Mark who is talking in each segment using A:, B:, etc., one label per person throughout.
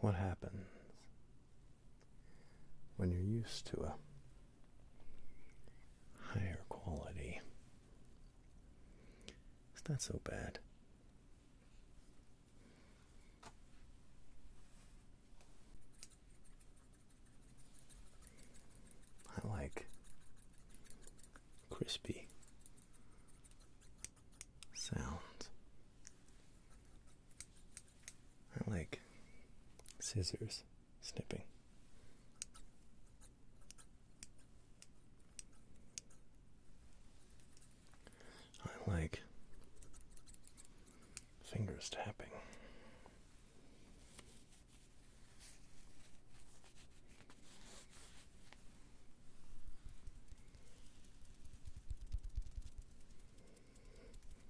A: What happens when you're used to a higher quality? It's not so bad. I like crispy sounds. I like scissors snipping. I like fingers tapping.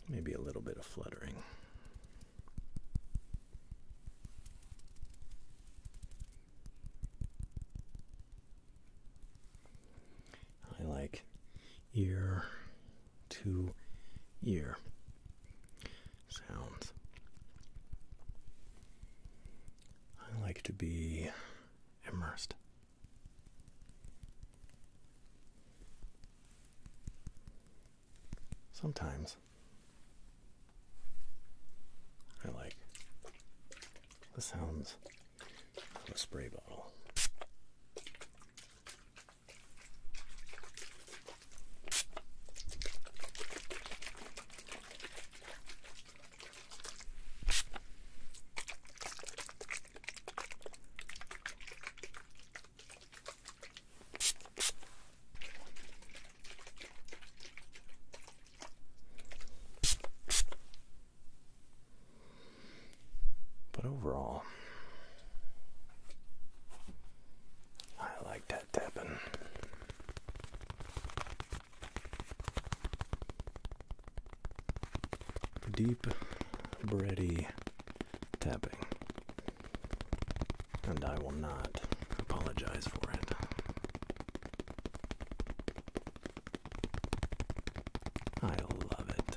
A: Maybe a little bit of fluttering. I like ear to ear sounds. I like to be immersed Sometimes I like the sounds of a spray bottle. But overall, I like that tapping. Deep, bready tapping. And I will not apologize for it. I love it.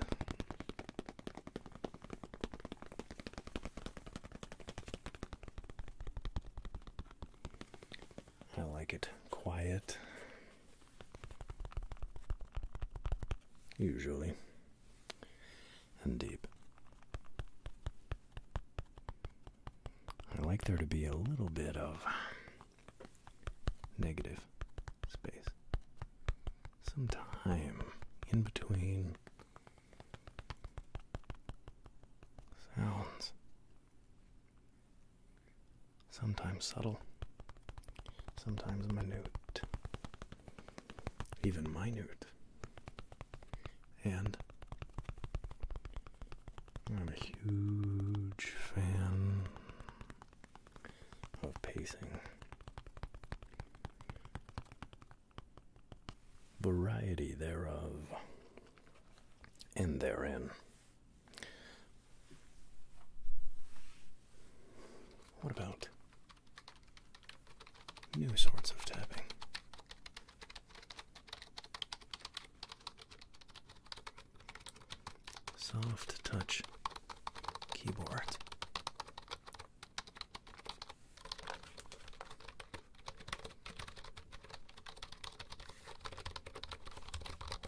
A: I like it quiet. Usually. And deep. I like there to be a little bit of negative space. Some time in between sounds. Sometimes subtle, sometimes minute, even minute. And I'm a huge fan of pacing. Variety thereof, and therein what about new sorts of tapping? Soft touch keyboard.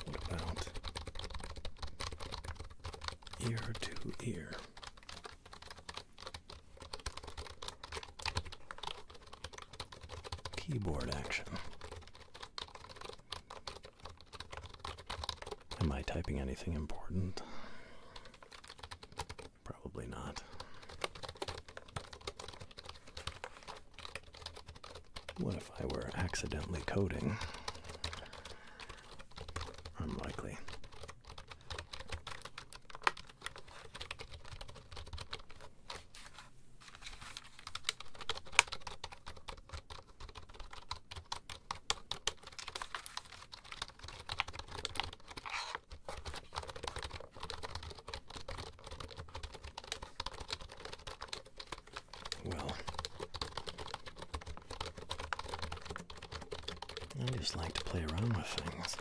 A: What about ear to ear? Keyboard action. Am I typing anything important? Probably not. What if I were accidentally coding? Unlikely. Well, I just like to play around with things.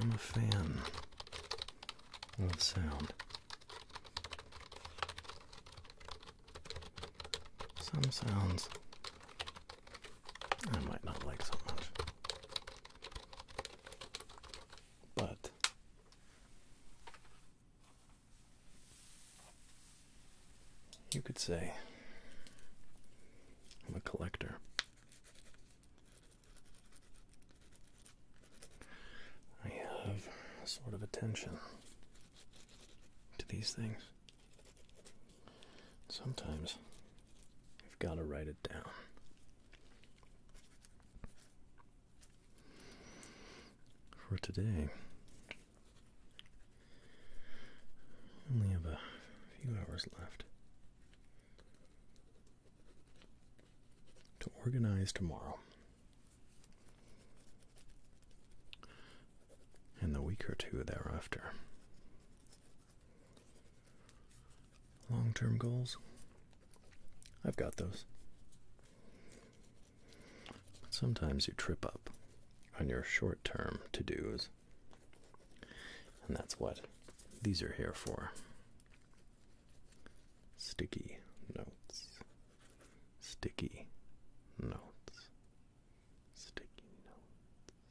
A: I'm a fan of sound. Some sounds I might not like so much. But you could say I'm a collector. I have a sort of attention to these things. Sometimes I've got to write it down. For today, only have a few hours left to organize tomorrow and the week or two thereafter long term goals. I've got those. sometimes you trip up on your short term to dos. And that's what these are here for sticky notes, sticky notes, sticky notes.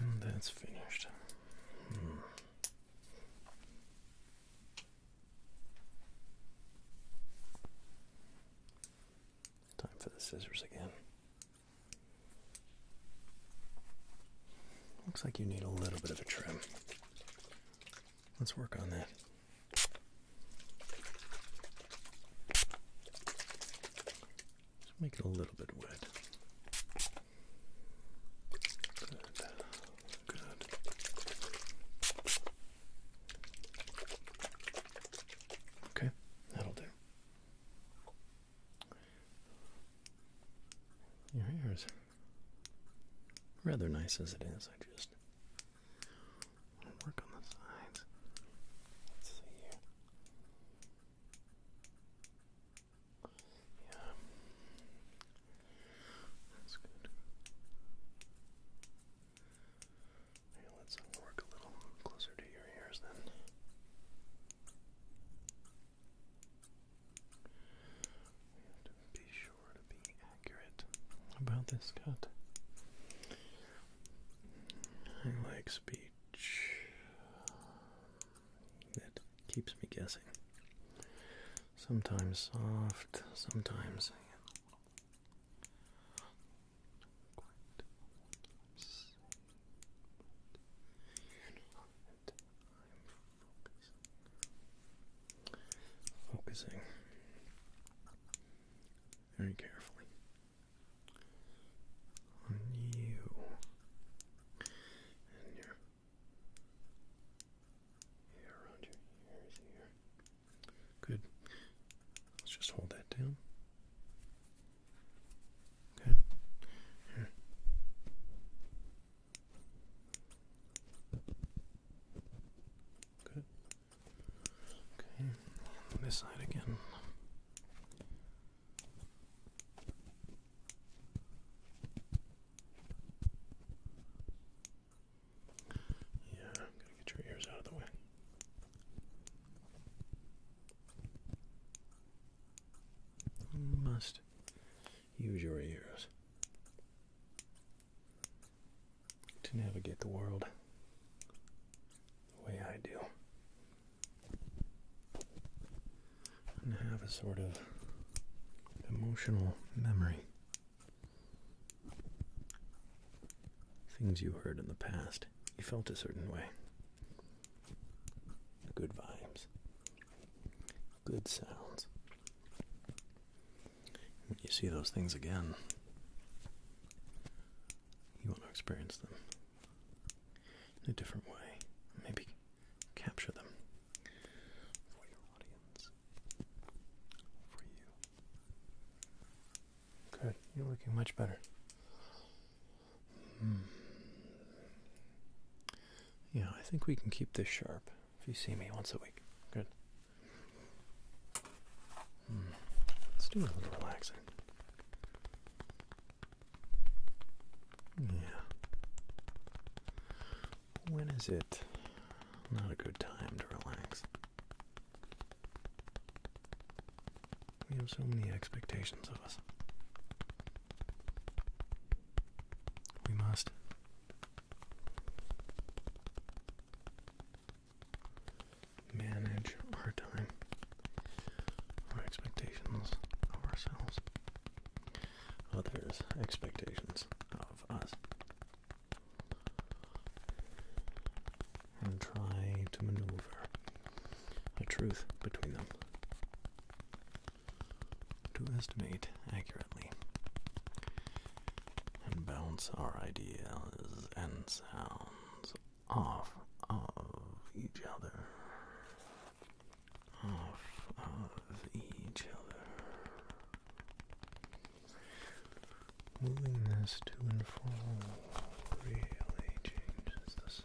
A: And that's finished. Hmm. Time for the scissors again. Looks like you need a little bit of a trim. Let's work on that. Just make it a little bit wet. Good. Good. Okay, that'll do. Your hair is rather nice as it is. I just Work on the sides. Let's see Yeah. That's good. let's work a little closer to your ears then. be sure to be accurate about this cut. I like speech. that keeps me guessing. Sometimes soft, sometimes focusing very carefully on you and your hair around your ears Good. Let's just hold that down. Good. Good. Okay, this side again. Yeah, I'm gonna get your ears out of the way. must use your ears to navigate the world the way I do. And have a sort of emotional memory. Things you heard in the past, you felt a certain way. Good vibes, good sounds. When you see those things again, you want to experience them in a different way. Maybe capture them for your audience. For you. Good, you're looking much better. Hmm. Yeah, I think we can keep this sharp if you see me once a week. Good. Hmm. Let's do a little relaxing. Yeah. When is it not a good time to relax? We have so many expectations of us. We must manage our time, our expectations of ourselves, others' expectations of us, and try to maneuver a truth between them to estimate accurately and balance our ideas and sounds off of each other. Off of each other. Moving this to and fro really changes the sound.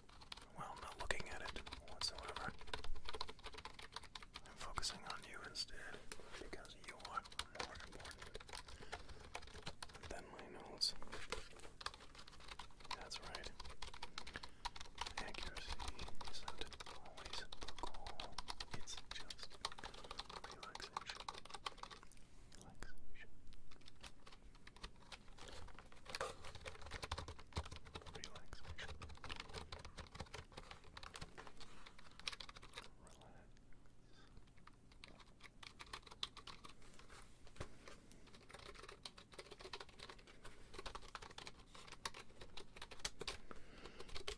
A: well, I'm not looking at it whatsoever. I'm focusing on you instead because you are more important than my notes. That's right. Accuracy isn't always the it's just relaxation. Relaxation. Relaxation. Relax. Good,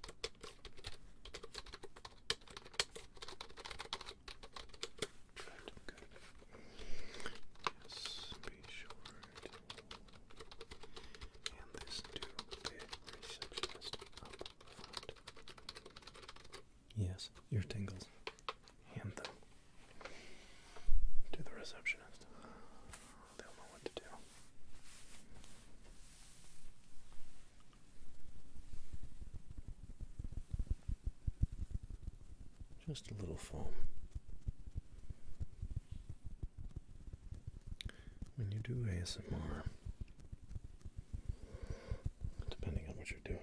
A: good. Yes, be sure And this to the receptionist up front. Yes, your tingles. Hand them to the receptionist. They'll know what to do just a little foam. When you do ASMR, depending on what you're doing,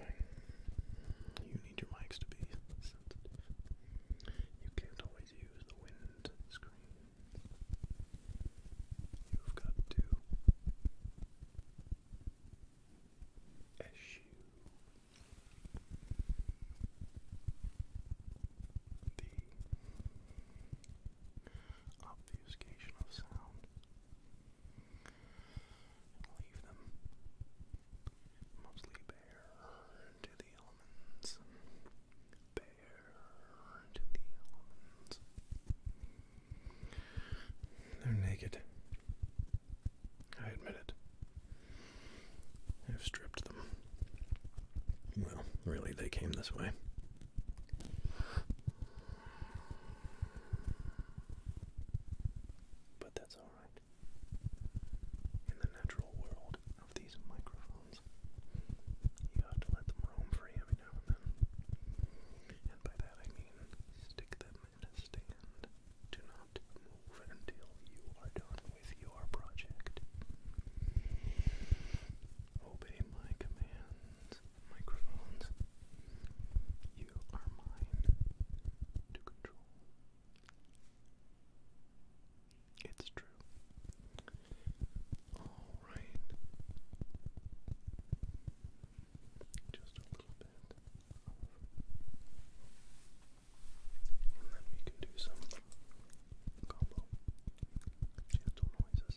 A: you need your mics to be sensitive. You can't always use the wind You've got to eschew the obfuscation of sound leave them mostly bare to the elements. Bare to the elements. They're naked. I admit it. I've stripped them. Well, really, they came this way. But that's alright. In the natural world of these microphones, you have to let them roam free every now and then. And by that I mean stick them in a stand do not move until you are done with your project. Obey my commands, microphones. You are mine to control. It's true. All right. Just a little bit. And then we can do some combo gentle noises.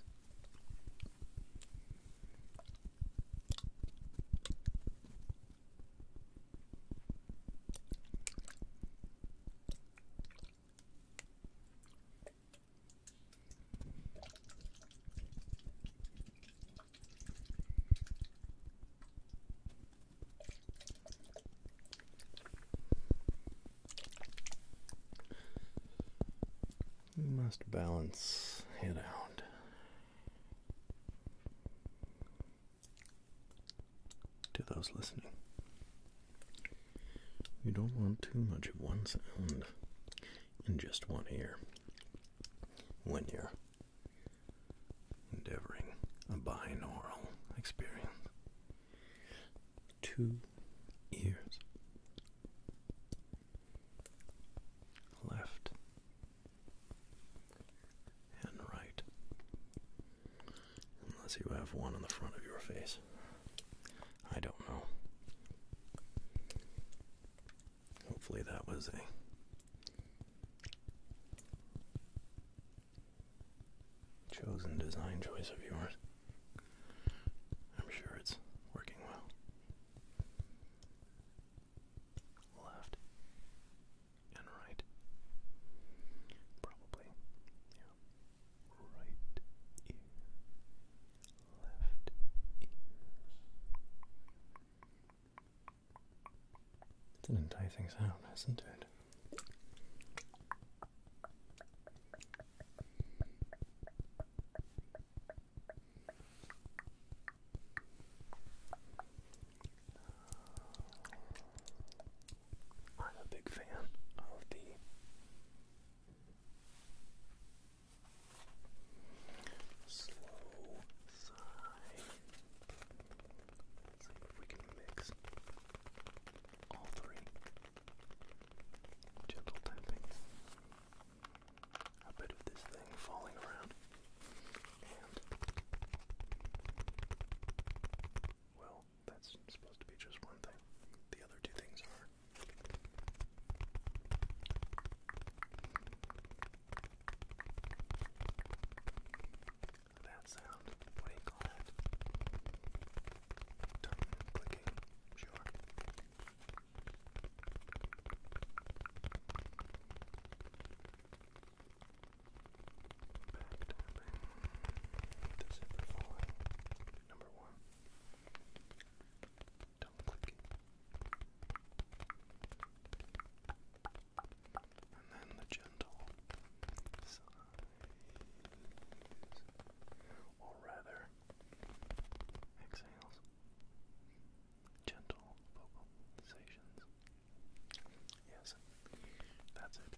A: You must balance it out. To those listening, you don't want too much of one sound in just one ear when you're endeavoring a binaural experience. Two ears, left and right, unless you have one on the front of your face. I don't know. Hopefully, that was a chosen design choice of yours. I'm sure it's working well. Left and right. Probably. Yeah. Right ear. Left ear. It's an enticing sound, isn't it? I'm a big fan of the slow sigh Let's see if we can mix all three. Gentle tapping. A bit of this thing falling around. And well, that's supposed to be just one thing. The other two things are that sound. What do you call that? Tongue clicking, sure. Back tapping. That's it for falling. Number one. Tongue clicking and then the gentle sighs, or rather, exhales. Gentle vocalizations. Yes, that's it.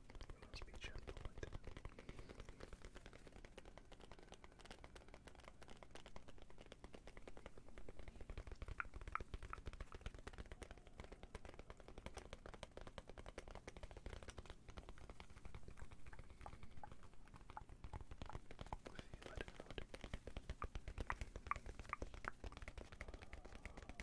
A: You must be gentle like that. Let it out.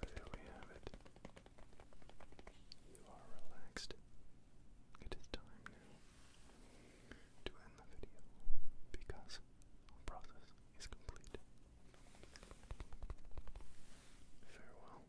A: There we have it. You are relaxed. It is time now to end the video because the process is complete. Farewell.